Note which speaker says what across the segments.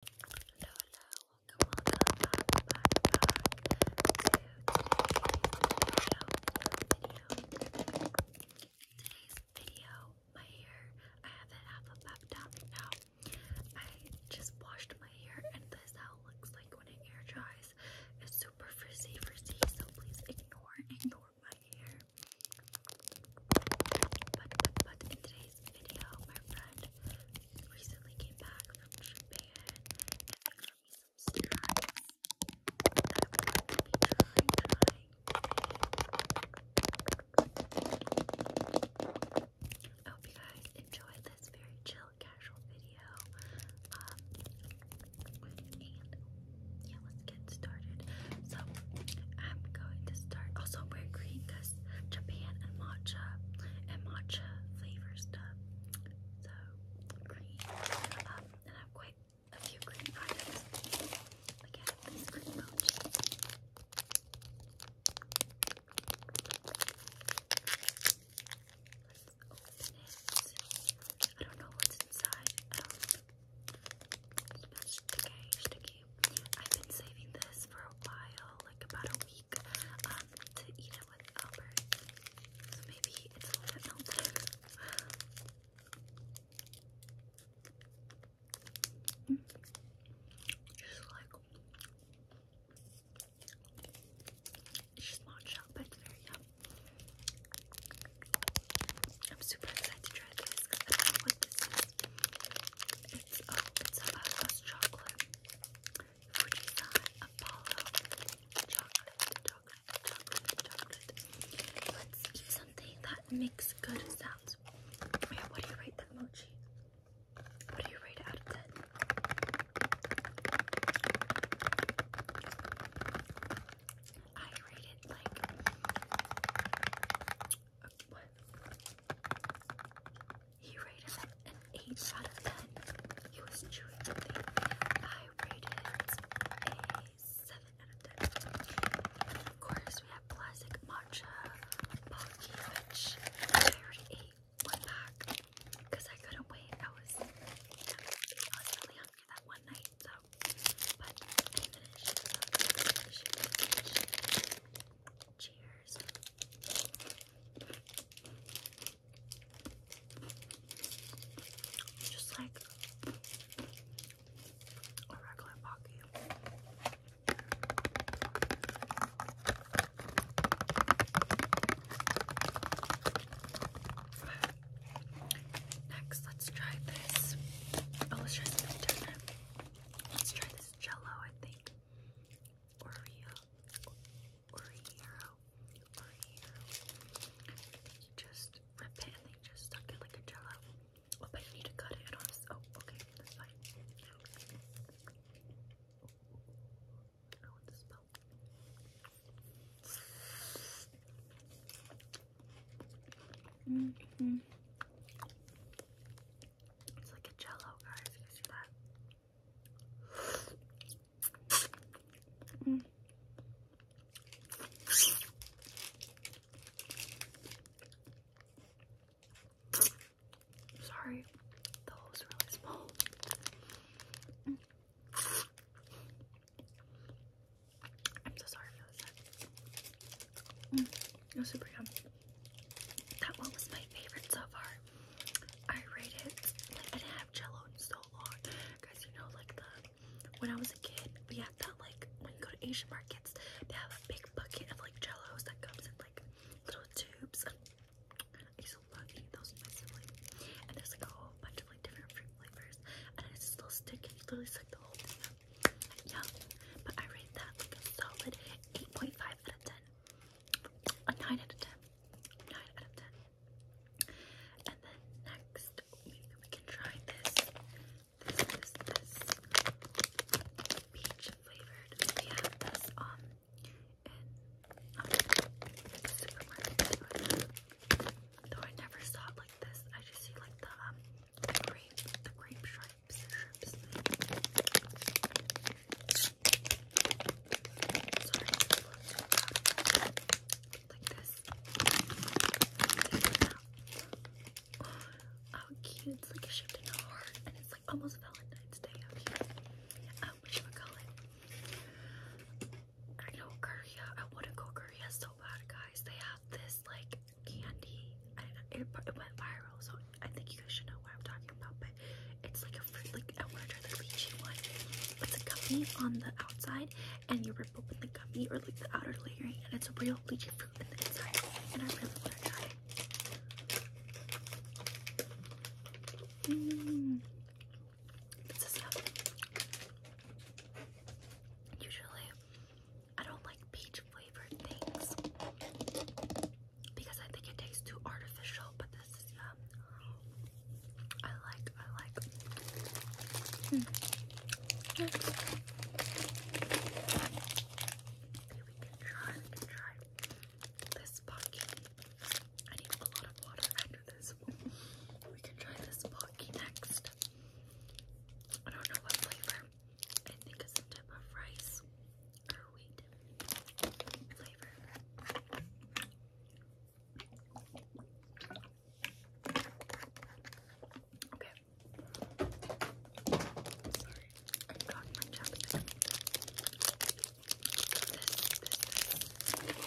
Speaker 1: today's video. my hair, I have it half a pep down right now. I just washed my hair and this is how it looks like when it air dries. It's super frizzy, frizzy, so please ignore, ignore my hair. But, but, but video. My friend recently came back from Japan and got me some steroids I'm going to hope you guys enjoyed this very chill, casual video. Um, and yeah, let's get started. So I'm going to start. Also, I'm wearing green because Japan and matcha and matcha flavors stuff. So green. Um, I have quite a few green items. Like I have green mochi. open it. I don't know what's inside. Um, sticky, I've been saving this for a while, like about a week, um, to eat it with Albert. So maybe it's a little bit melted. Just like it's just matcha, but very yum. I'm super excited to try this because I don't know what this is. It's oh, it's a Fosco's chocolate. Fujisan Apollo chocolate, chocolate, chocolate, chocolate. Let's eat something that makes good sounds. Wait, oh, what do you rate that mochi? What do you rate out of ten? I rate it like he rated an 8 out of 10. He was chewing something. I rated a 7 out of 10. of course, we have classic matcha pocky, which I already ate one pack because I couldn't wait. I was, I was really hungry that one night, so. But I finished. So I finished. Cheers just like a regular pocket. Next, let's try this. Oh, let's try something different. Let's try this jello, I think. Oreo, Oreo, Oreo. You just rip it and then just suck it like a jello. Oh, but you need to cut it. oh, okay, that's fine. I don't Mm -hmm. It's like a jello, guys. You see that? Mm. Sorry, the hole's really small. Mm. I'm so sorry for this. Mm, super yum. That one was my favorite so far. I rate it. I didn't have Jello in so long, guys. You know, like the when I was a kid, we had that like when you go to Asian markets, they have a big bucket of like Jellos that comes in like little tubes. I used to love eating those with And there's like a whole bunch of like different fruit flavors, and it's still sticky. You literally suck the whole thing up. Yeah, but I rate that like a solid 8.5 out of 10. A 9 out of 10. 9 out of 10. And then next, we can try this. This is this peach flavored. We this um, um supermarket. Though I never saw it like this. I just see like the um the grape, the grape shrimps, shrimps. Sorry, like this. oh, cute! It's like a shift in a heart, and it's like almost Valentine's Day out here. Um, oh, what should we call I know Korea. I want to go Korea so bad, guys. They have this like candy. I it, went viral, so I think you guys should know what I'm talking about. But it's like a fruit, like I want to try the lychee one. It's a gummy on the outside, and you rip open the gummy or like the outer layering, and it's a real lychee fruit in the inside. And I really want to try mm. Usually, I don't like peach flavored things because I think it tastes too artificial, but this is yum. I like, I like. Mm. we can try, we can try this pocky. I need a lot of water after this. We can try this pocky next. I don't know what flavor. I think it's some type of rice or wheat flavor. Okay. Sorry, I got my chapstick. Oh, it's like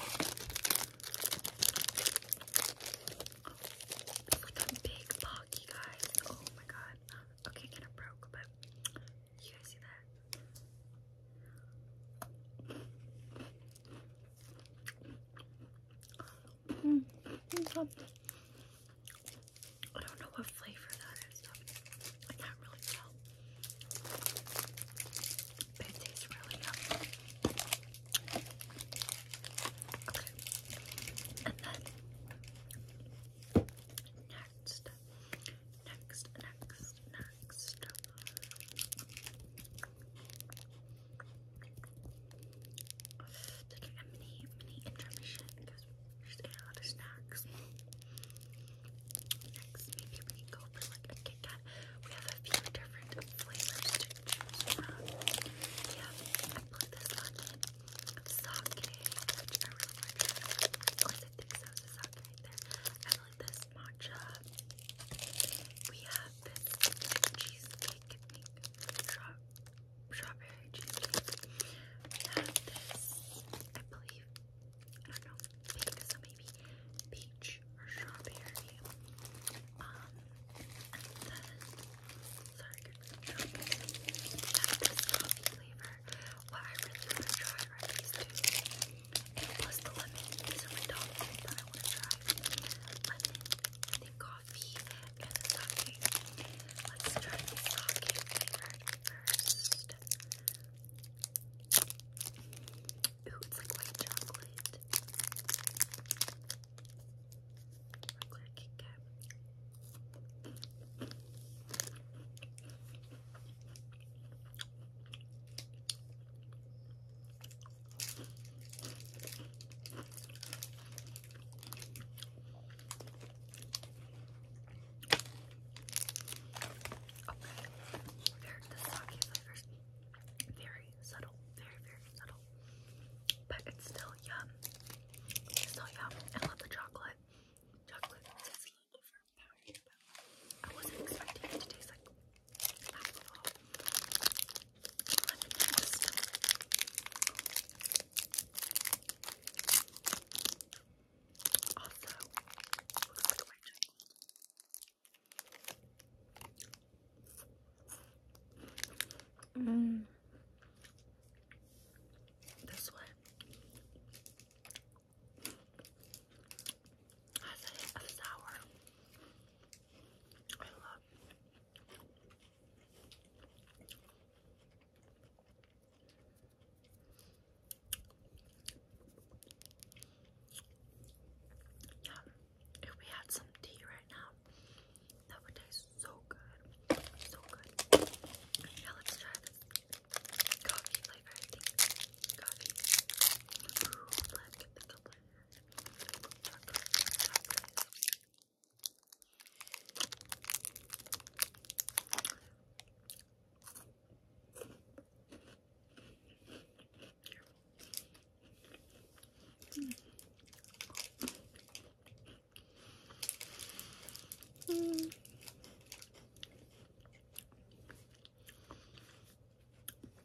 Speaker 1: a big box, you guys. Oh my god. Okay, kind of broke, but you guys see that? Hmm, I don't know what flavor that is. I can't really tell. But it tastes really yummy. And then next, next, next, next. Taking mini, mini intermission because we're just eating a lot of snacks. Next, maybe we can go for like a Kit Kat. We have a few different flavors to I put this on in sake, which I really like. Of course, I think so. It's a sake right there. I like this matcha. We have this like, cheesecake, I think. Straw strawberry cheesecake. We have this, I believe, I don't know, pink, so maybe peach or strawberry. Um, and then Sorry, good job. That is coffee flavor. What I really want to try are these two. And plus the lemon. These are my top things I want to try. Lemon, and then coffee, and Let's try the sake flavor first. Ooh, it's like white chocolate regular Kit Kat. Okay, there, the sake flavors, very subtle, very, very subtle but it's still yum. still yum. I love the chocolate. Chocolate I wasn't expecting it to taste like alcohol. Let me Also, looks like my chocolate. Mm. This one has a hint sour. I love yeah, if we had some tea right now, that would taste so good. So good. Yeah, let's try this. Coffee flavor, I think. Coffee. Ooh, let's get the color. Mm.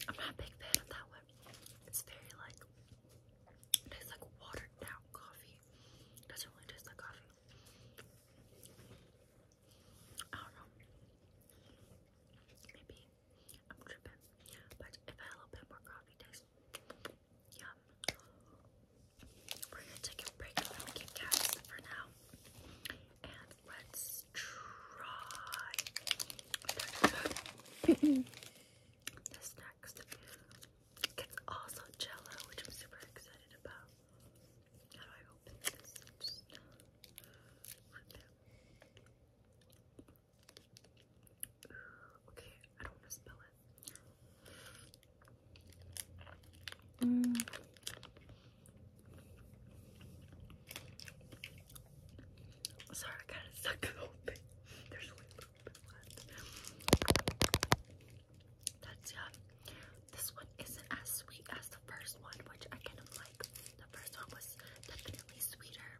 Speaker 1: I'm not big fan of that one. It's very like tastes like watered down coffee. doesn't really taste like coffee. I don't know. Maybe I'm tripping. But if I had a little bit more coffee taste, Yum. We're gonna take a break from Kit Kats for now. And let's try this next. It's also jello, which I'm super excited about. How do I open this? Okay, I don't want to spill it. Mm. Sorry, I kind of suck it open. There's only little bit left. That's yeah. This one isn't as sweet as the first one, which I kind of like. The first one was definitely sweeter.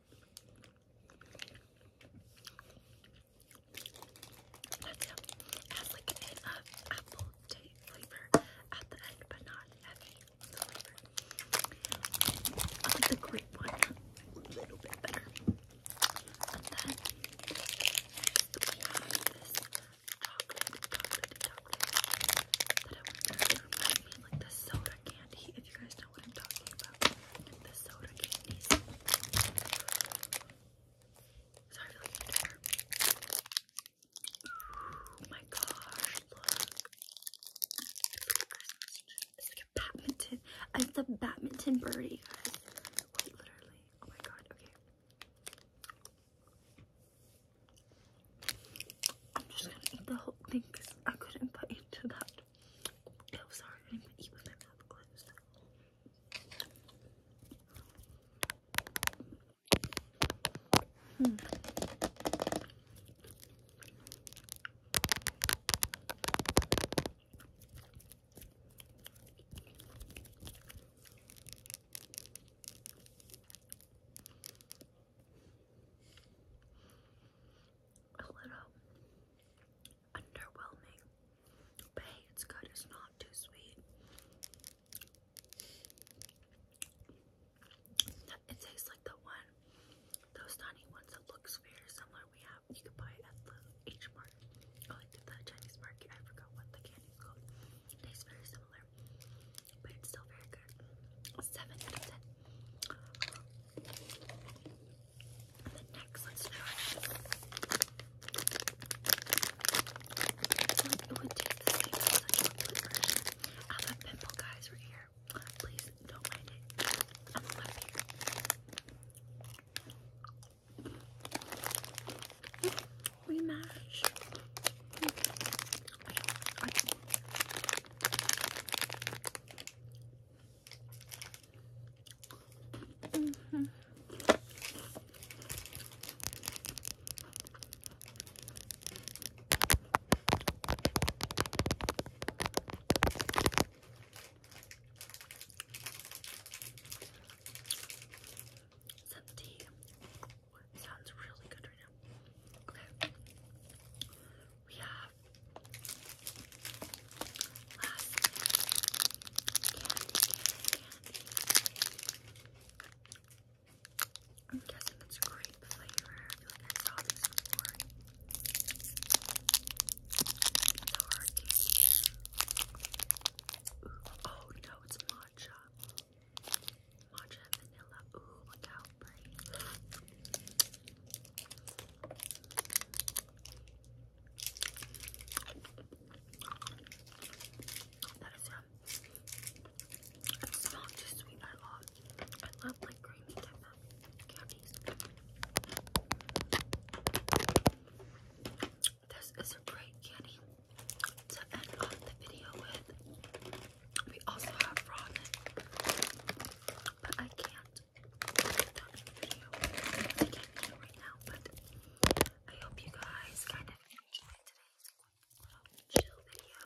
Speaker 1: That's like an apple tea flavor at the end, but not heavy flavor. I like one a little bit better. And then we have this chocolate, chocolate, chocolate that I want to remind like the soda candy. If you guys know what I'm talking about. The soda candies. Sorry for looking Oh my gosh, look. It's like a badminton. It's the badminton birdie, guys. Wait, literally. Oh my god, okay. I'm just gonna eat the whole thing because I couldn't put into that. Oh, sorry. clothes on, even if I'm clothes. Hmm. A little underwhelming. But hey, it's good. It's not too sweet. It tastes like the one, those tiny ones that looks very similar. We have you can buy at the H Mart, like oh, the Chinese market. I forgot what the candy's called. tastes very similar, but it's still very good. Seven out of ten. And next, let's I have pimple, guys, right here. Please don't mind it. We match. Mm -hmm. That tea sounds really good right now. Okay we have I'm guessing it's grape flavor. I feel like I this before. It's Oh no, it's matcha. Matcha vanilla. Ooh, look that is yum. not too sweet. I love. I love like creamy type candies. This is a great candy to end off the video with. We also have ramen, but I can't not I can't get it right now, but I hope you guys kind of enjoyed today's Casual, video.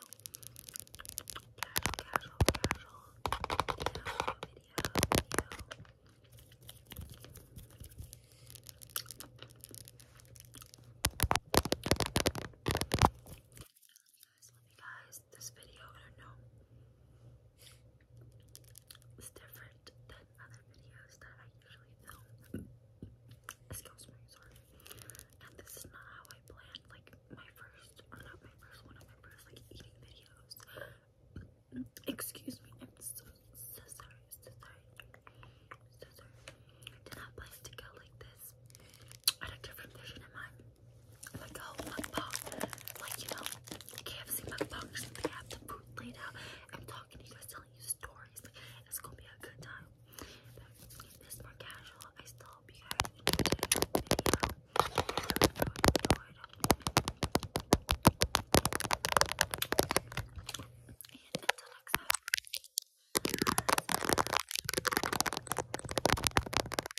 Speaker 1: Guys, guys, this video, I know, it's different than other videos that I usually film. Excuse me, sorry. And this is not how I planned, like, my first, uh, not my first, one of my first, like, eating videos. Excuse me, I'm so, so sorry, so sorry, so sorry. Did not plan to go like this. I had a different vision in mind like a oh, whole mukbang, like you know, KFC mukbangs. They have the food laid out. I'm talking to you guys, telling you stories. Like, it's gonna be a good time. But this more casual. I still hope you guys enjoyed the video. I really enjoyed. And until next time.